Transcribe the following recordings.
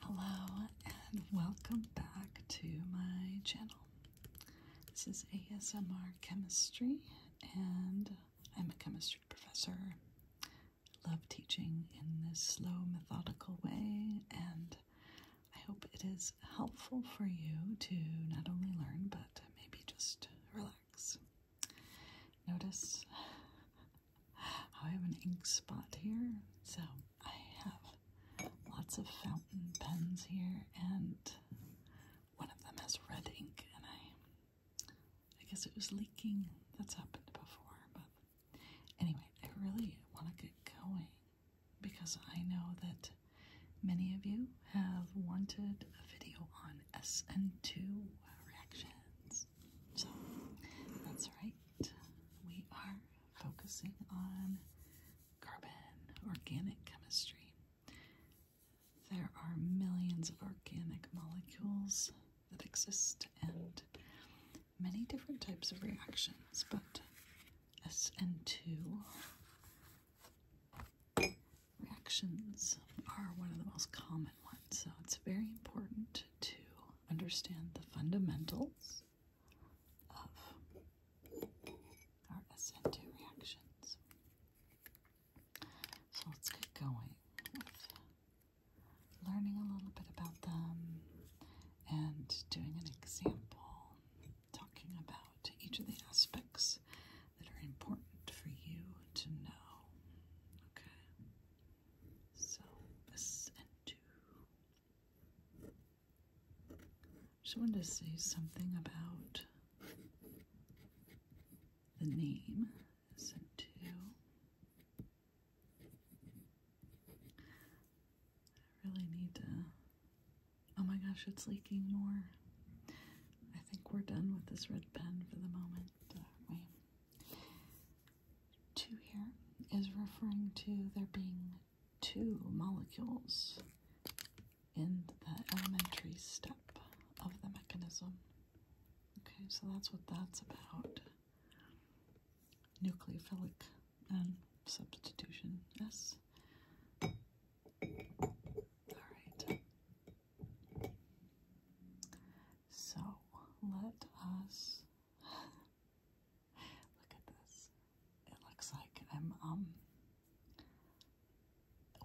Hello and welcome back to my channel. This is ASMR Chemistry and I'm a chemistry professor. love teaching in this slow methodical way and I hope it is helpful for you to not only learn but maybe just relax. Notice I have an ink spot here, so I have lots of fountain pens here, and one of them has red ink, and I, I guess it was leaking. That's happened before, but anyway, I really want to get going because I know that many of you have wanted a video on SN2 reactions. So that's right. We are focusing on carbon, organic chemistry. There are millions of organic molecules that exist and many different types of reactions, but SN2 reactions are one of the most common so it's very important to understand the fundamentals of our SN2 reactions. So let's get going with learning a little bit about them and doing an example, talking about each of the aspects that are important for you to know. Okay. So this and Just wanted to say something about the name. This and I really need to. Oh my gosh, it's leaking more. I think we're done with this red pen for the moment. Uh, 2 here is referring to there being two molecules in the elementary step of the mechanism. Okay, so that's what that's about. Nucleophilic substitution S. All right. So let us look at this. It looks like I'm, um,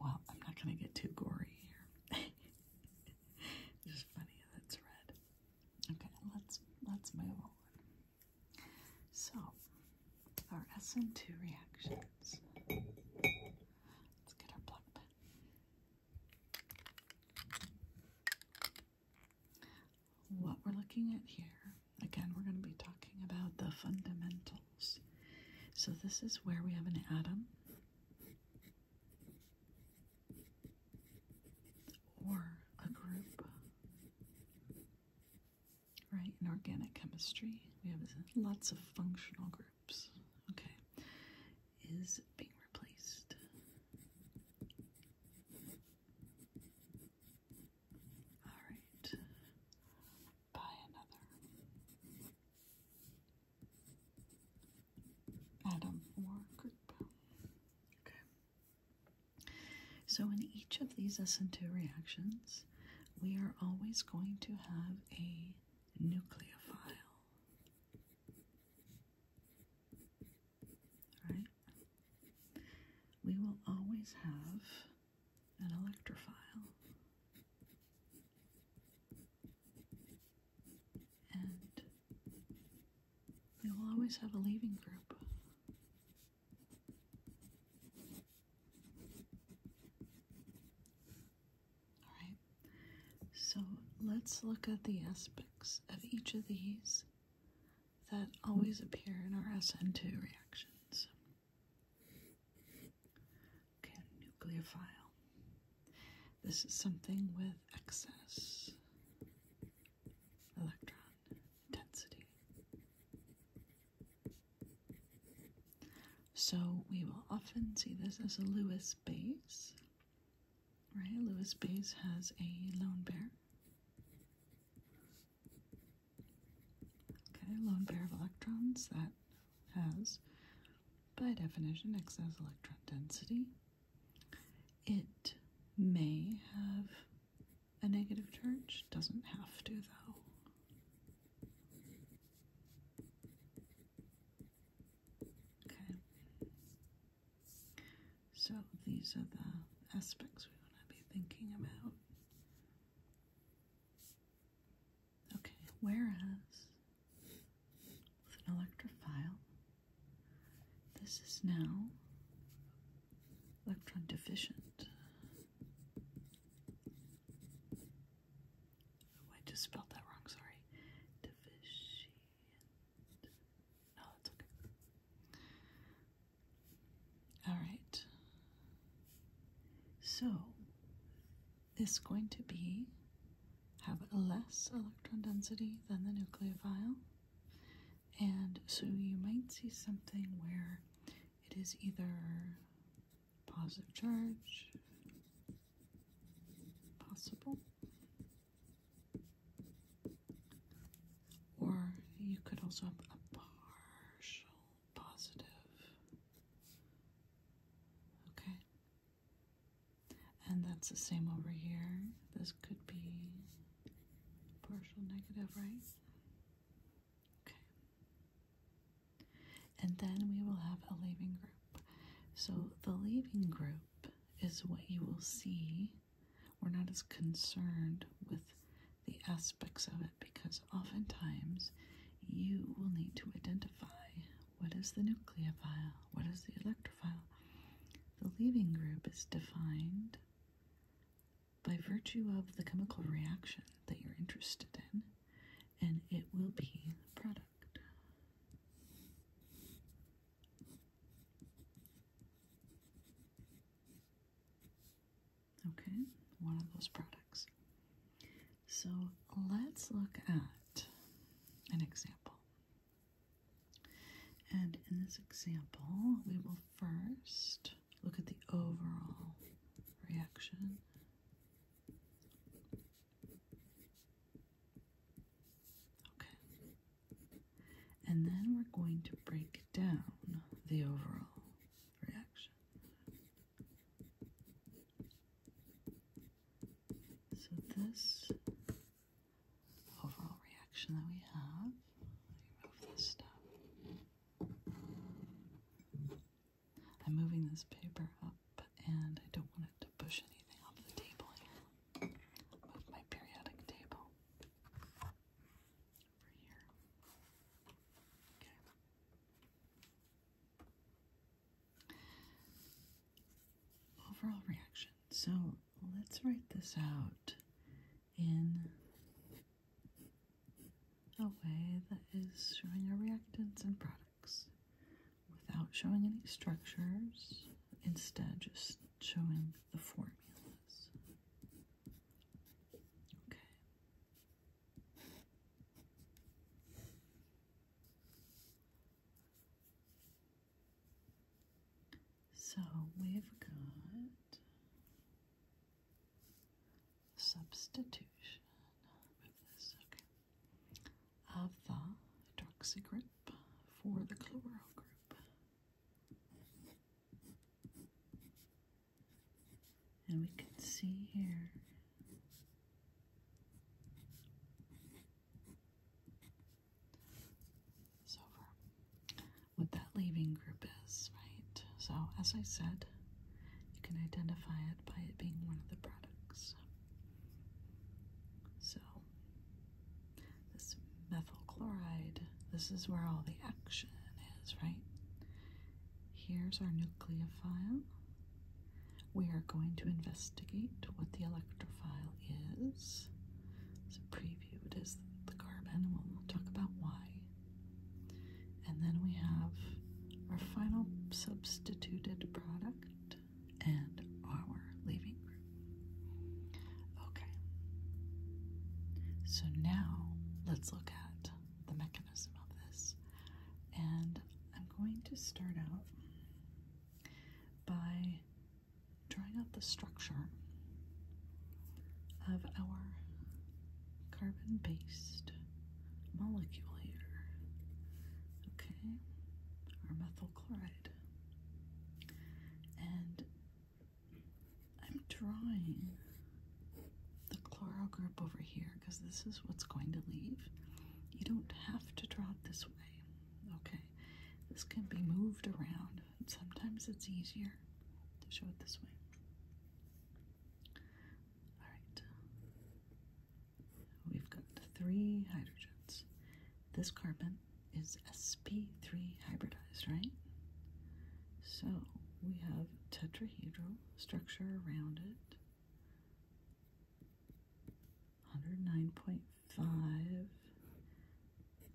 well, I'm not going to get too gory here. just funny that's red. Okay, let's, let's move on. So, our SN2 reactions. Let's get our black pen. What we're looking at here, again, we're going to be talking about the fundamentals. So, this is where we have an atom or a group, right? In organic chemistry, we have lots of functional groups, okay? is being replaced. Alright, buy another. Atom or group. Okay. So in each of these SN2 reactions, we are always going to have a nucleophile. Right? We will always have an electrophile and we will always have a leaving group. All right so let's look at the aspects of each of these that always appear in our SN2 reactions. Okay, nucleophile. This is something with excess electron density. So we will often see this as a Lewis base Right, Louis Bays has a lone pair. Okay, lone pair of electrons that has, by definition, excess electron density. It may have a negative charge, doesn't have to though. Okay. So these are the aspects we want to be thinking about. Okay, whereas with an electrophile, this is now electron deficient. Oh, I just spelled that wrong, sorry. Deficient. All right. So is going to be have less electron density than the nucleophile. And so you might see something where it is either positive charge, possible, or you could also have a partial positive. Okay. And that's the same over here. This could be partial negative, right? Okay. And then we will have a leaving group. So the leaving group is what you will see. We're not as concerned with the aspects of it because oftentimes you will need to identify what is the nucleophile, what is the electrophile. The leaving group is defined by virtue of the chemical reaction that you're interested in, and it will be the product. Okay, one of those products. So let's look at an example. And in this example, we will first look at the overall reaction. Okay. And then we're going to break down the overall reaction. So, this overall reaction that we have, I'm moving this paper up and I don't want it to push anything off the table move my periodic table over here. Okay. Overall reaction. So let's write this out in a way that is showing our reactants and products without showing any structures. Instead, just showing the formulas. Okay. So we've got substitution of the hydroxy group for the chloro group. And we can see here so what that leaving group is, right? So, as I said, you can identify it by it being one of the products. So, this methyl chloride, this is where all the action is, right? Here's our nucleophile. We are going to investigate what the electrophile is. So preview it is the carbon, and we'll talk about why. And then we have our final substituted product, and our leaving group. Okay. So now let's look at the mechanism of this. And I'm going to start out by drawing out the structure of our carbon based molecule here. Okay, our methyl chloride. And I'm drawing the chloro group over here because this is what's going to leave. You don't have to draw it this way, okay? This can be moved around, sometimes it's easier to show it this way. All right, we've got three hydrogens. This carbon is sp3 hybridized, right? So we have tetrahedral structure around it. 109.5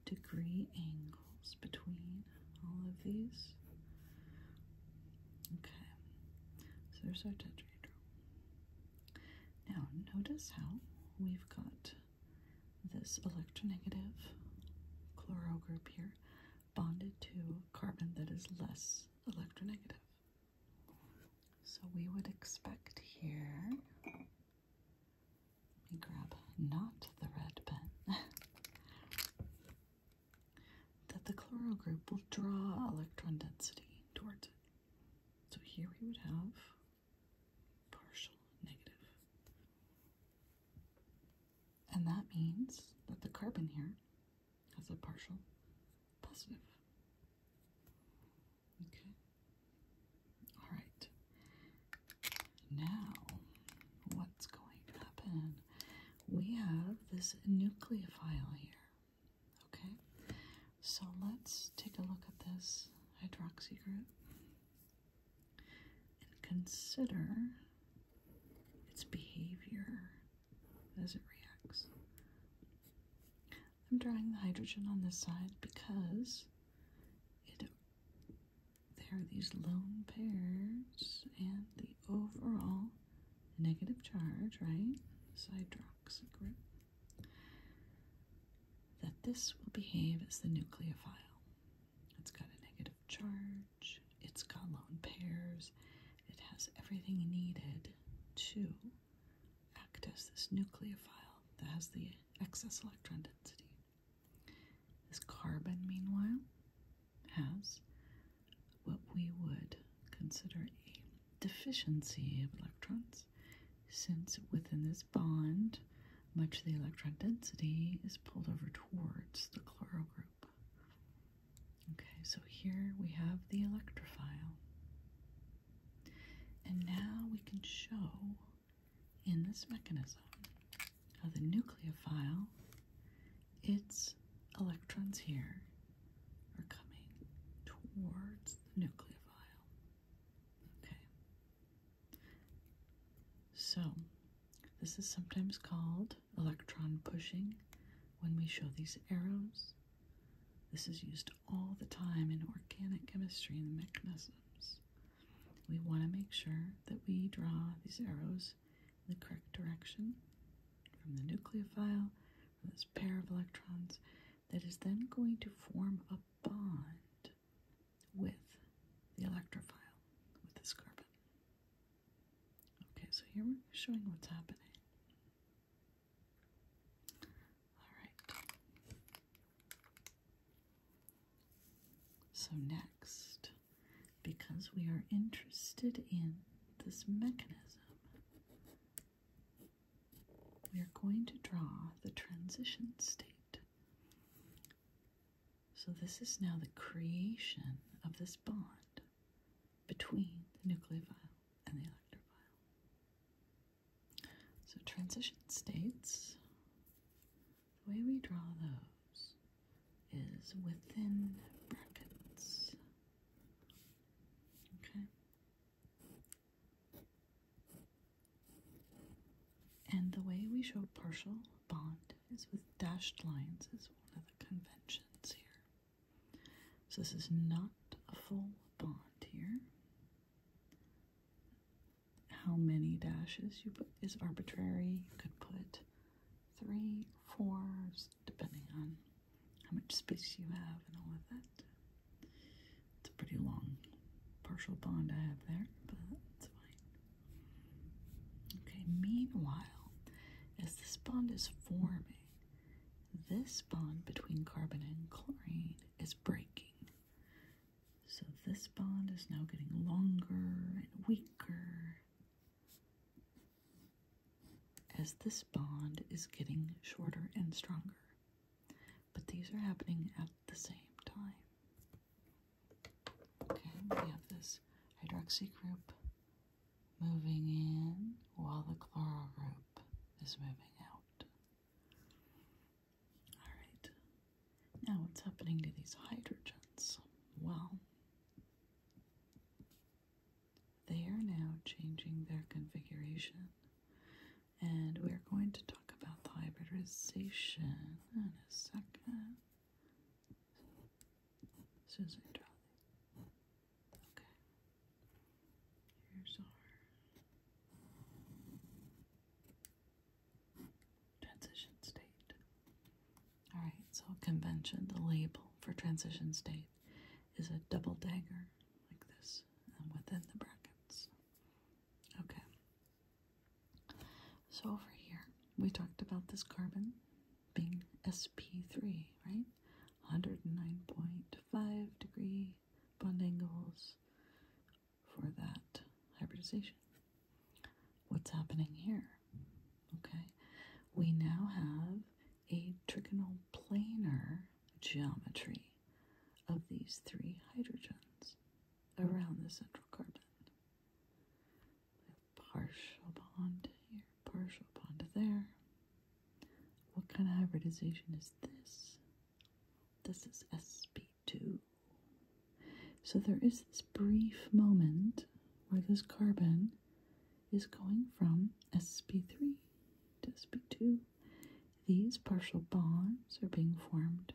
degree angles between all of these. Okay, so there's our tetrahedral. Now notice how we've got this electronegative chloro group here bonded to carbon that is less electronegative. So we would expect here, let me grab not the red pen, that the chloro group will draw electron density towards it. So here we would have partial And that means that the carbon here has a partial positive. Okay. All right. Now, what's going to happen? We have this nucleophile here. Okay. So let's take a look at this hydroxy group and consider its behavior as it reacts. I'm drawing the hydrogen on this side because it there are these lone pairs and the overall negative charge, right? This hydroxy group that this will behave as the nucleophile. It's got a negative charge, it's got lone pairs, it has everything needed to act as this nucleophile that has the excess electron density. This carbon, meanwhile, has what we would consider a deficiency of electrons since within this bond, much of the electron density is pulled over towards the chloro group. Okay, so here we have the electrophile. And now we can show in this mechanism how the nucleophile, its electrons here, are coming towards the nucleophile. Okay, so, this is sometimes called electron pushing when we show these arrows. This is used all the time in organic chemistry and mechanisms. We want to make sure that we draw these arrows in the correct direction from the nucleophile, from this pair of electrons, that is then going to form a bond with the electrophile, with this carbon. Okay, so here we're showing what's happening. All right. So next, because we are interested in this mechanism, we are going to draw the transition state so, this is now the creation of this bond between the nucleophile and the electrophile. So, transition states, the way we draw those is within brackets. Okay? And the way we show partial bond is with dashed lines is one of the conventions here. So this is not a full bond here. How many dashes you put is arbitrary. You could put three, four, depending on how much space you have and all of that. It's a pretty long partial bond I have there, but it's fine. Okay, meanwhile, as this bond is forming, this bond between carbon and chlorine is breaking. So this bond is now getting longer and weaker as this bond is getting shorter and stronger but these are happening at the same time. Okay, we have this hydroxy group moving in while the chloro group is moving out. Alright, now what's happening to these hydrogens? Well, they are now changing their configuration, and we're going to talk talk about hybridization in a second. Susan Okay. Here's our transition state. Alright, so convention, the label for transition state is a double dagger like this and within the brackets. Okay, so over here, we talked about this carbon being sp3, right? 109.5 degree bond angles for that hybridization. What's happening here? Okay, we now have a trigonal planar geometry of these three hydrogens around the central carbon. Partial bond here, partial bond there. What kind of hybridization is this? This is sp2. So there is this brief moment where this carbon is going from sp3 to sp2. These partial bonds are being formed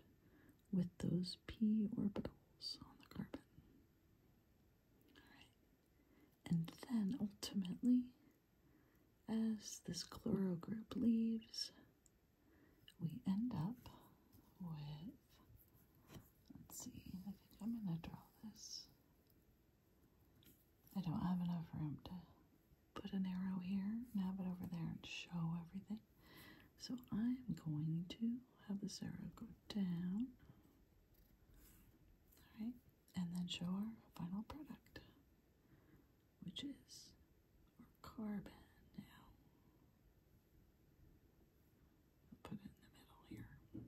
with those p orbitals on the carbon. Alright. And then ultimately, as this chloro group leaves, we end up with let's see, I think I'm gonna draw this. I don't have enough room to put an arrow here and it over there and show everything. So I'm going to have this arrow go down. Alright, and then show our final product, which is our carbon now. put it in the middle here.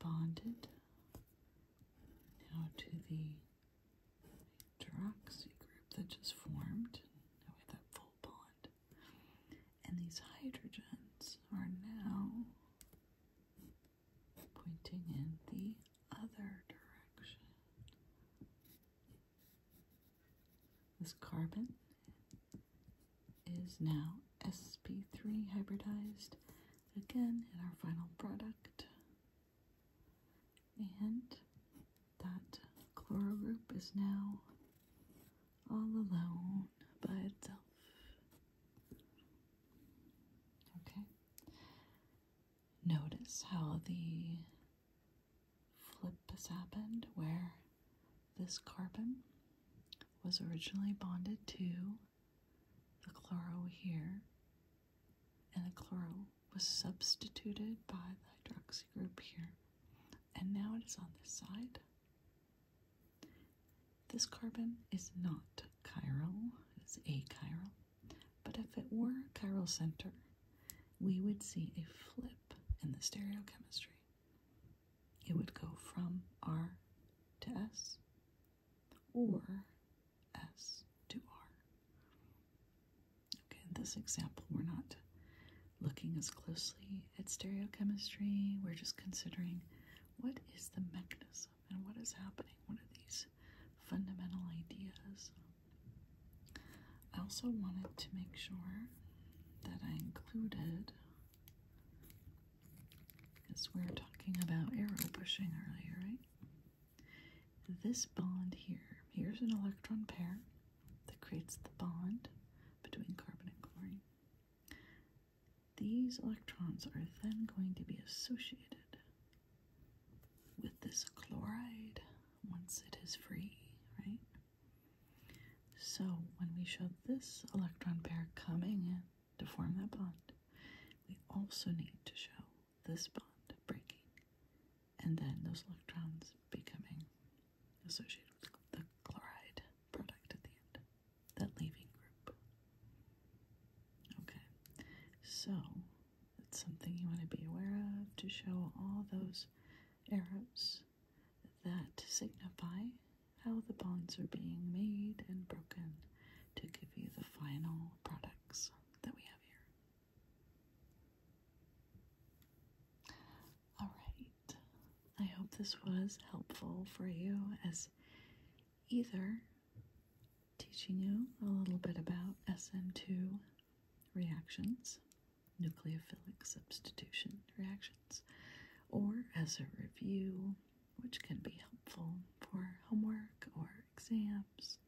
Bonded now to the hydroxy group that just formed. Now that full bond. And these hydrogens are now pointing in the other direction. This carbon is now sp3 hybridized again in our final product and that Chloro group is now all alone by itself. Okay. Notice how the flip has happened where this carbon was originally bonded to the chloro here and the chloro was substituted by the hydroxy group here, and now it is on this side. This carbon is not chiral, it's achiral, but if it were a chiral center, we would see a flip in the stereochemistry. It would go from R to S or S to R. Okay, in this example, we're not looking as closely at stereochemistry. We're just considering what is the mechanism and what is happening. What are these fundamental ideas? I also wanted to make sure that I included, because we were talking about arrow pushing earlier, right? this bond here. Here's an electron pair that creates the bond between carbon and chlorine. These electrons are then going to be associated with this chloride once it is free, right? So when we show this electron pair coming in to form that bond, we also need to show this bond breaking and then those electrons becoming associated with the chloride product at the end, that leaving group. Okay, so that's something you want to be aware of to show all those arrows that signify how the bonds are being made and broken to give you the final products that we have here. Alright, I hope this was helpful for you as either teaching you a little bit about sn 2 reactions, nucleophilic substitution reactions, or as a review, which can be helpful for homework or exams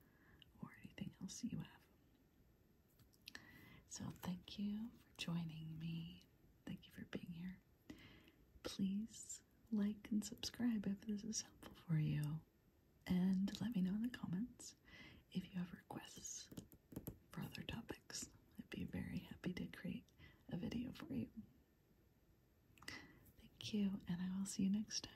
or anything else you have. So, thank you for joining me. Thank you for being here. Please like and subscribe if this is helpful for you. And let me know in the comments if you have requests for other topics. I'd be very happy to create a video for you. Thank you, and I will see you next time.